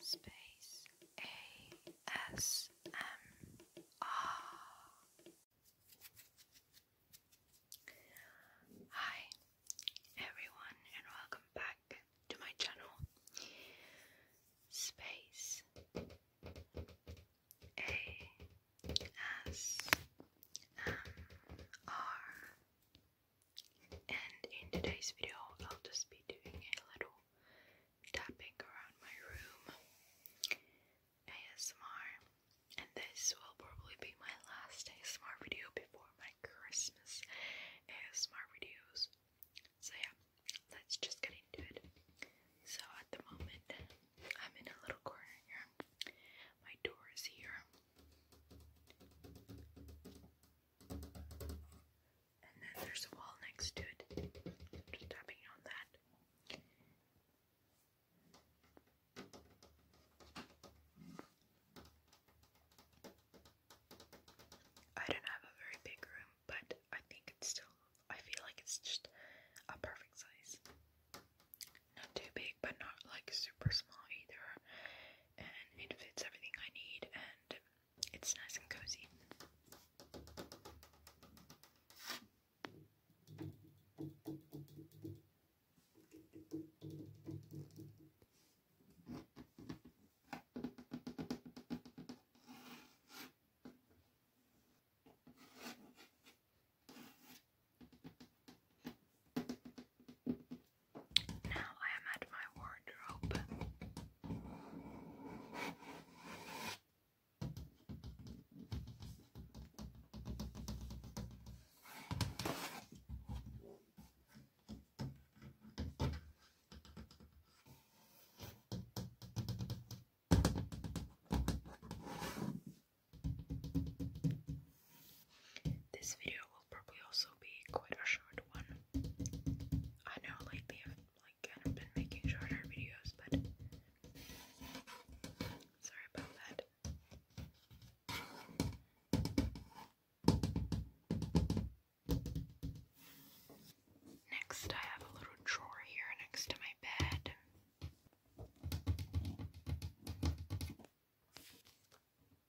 space A S M R. Hi everyone, and welcome back to my channel. Space A S M R and in today's video I'll just be doing a little tapping around my room ASMR and this will probably be my last ASMR video before my Christmas ASMR videos so yeah let's just get into it so at the moment I'm in a little corner here my door is here and then there's a wall next to it. Just tapping on that. I don't have a very big room, but I think it's still, I feel like it's just a perfect size. Not too big, but not like super small either and it fits everything I need and it's nice and cozy. Now I am at my wardrobe. This video will probably also be quite a short one. I know lately I've kind of been making shorter videos, but sorry about that. Next, I have a little drawer here next to my bed.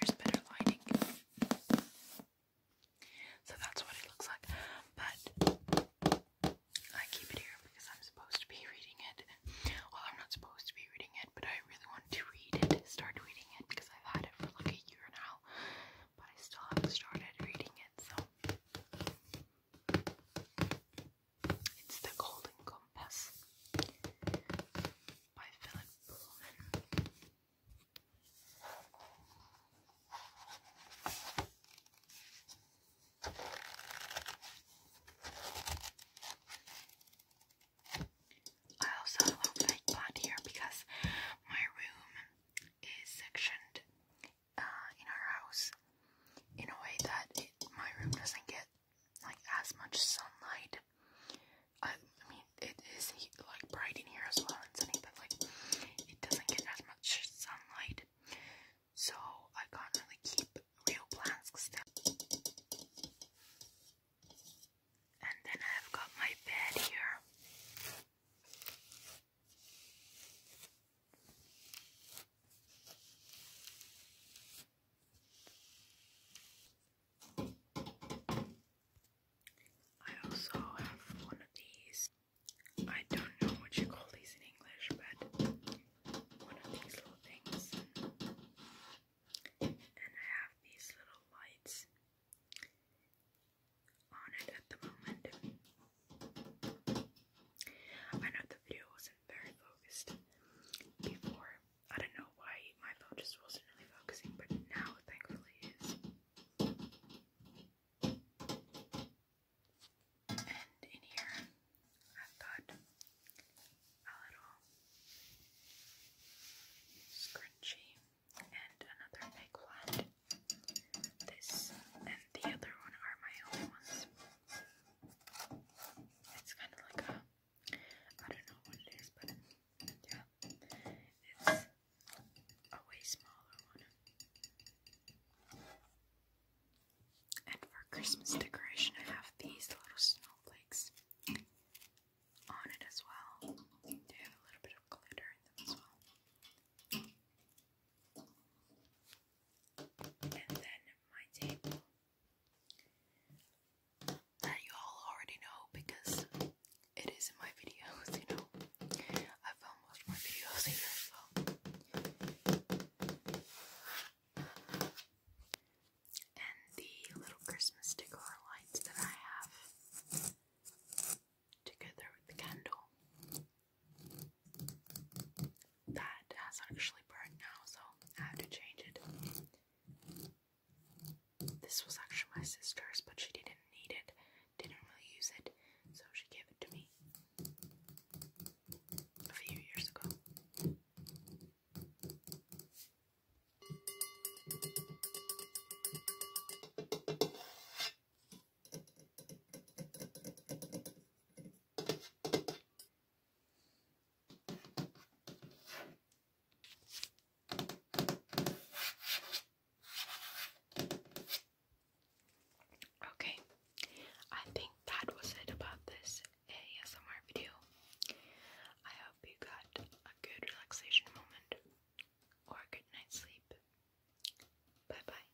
Here's better lighting. So that's what it looks like. But I keep it here because I'm supposed to be reading it. Well, I'm not supposed to be reading it, but I really want to read it, start reading it because I've had it for like a year now. But I still haven't started reading it, so. It's the Golden Compass. I also have a little here because my room is sectioned uh, in our house in a way that my room doesn't get like as much sunlight. I, mean, it is like bright in here as well and sunny, but like it doesn't get as much sunlight, so I can't really keep real plants still. And then I've got my bed here. I also have one of these. I don't know what you call these in English, but one of these little things. And I have these little lights on it at the moment. I know the video wasn't very focused before, I don't know why my phone just wasn't really focusing, but now thankfully is. And in here, I've got a little scrunchie and another big This and the other one are my own ones. It's kind of like a I don't know what it is, but yeah, it's a way smaller one. And for Christmas decoration, I have these little snowflakes on it as well. They have a little bit of glitter in them as well. And then my table that you all already know because it is in my videos, you know. I film most of my videos here, and the little Christmas decor lights that I have together with the candle that has actually burned now, so I have to change it. This was actually my sister's, but she didn't need it, didn't really use it, so she gave it to me a few years ago. Okay, I think that was it about this ASMR video. I hope you got a good relaxation moment or a good night's sleep. Bye bye.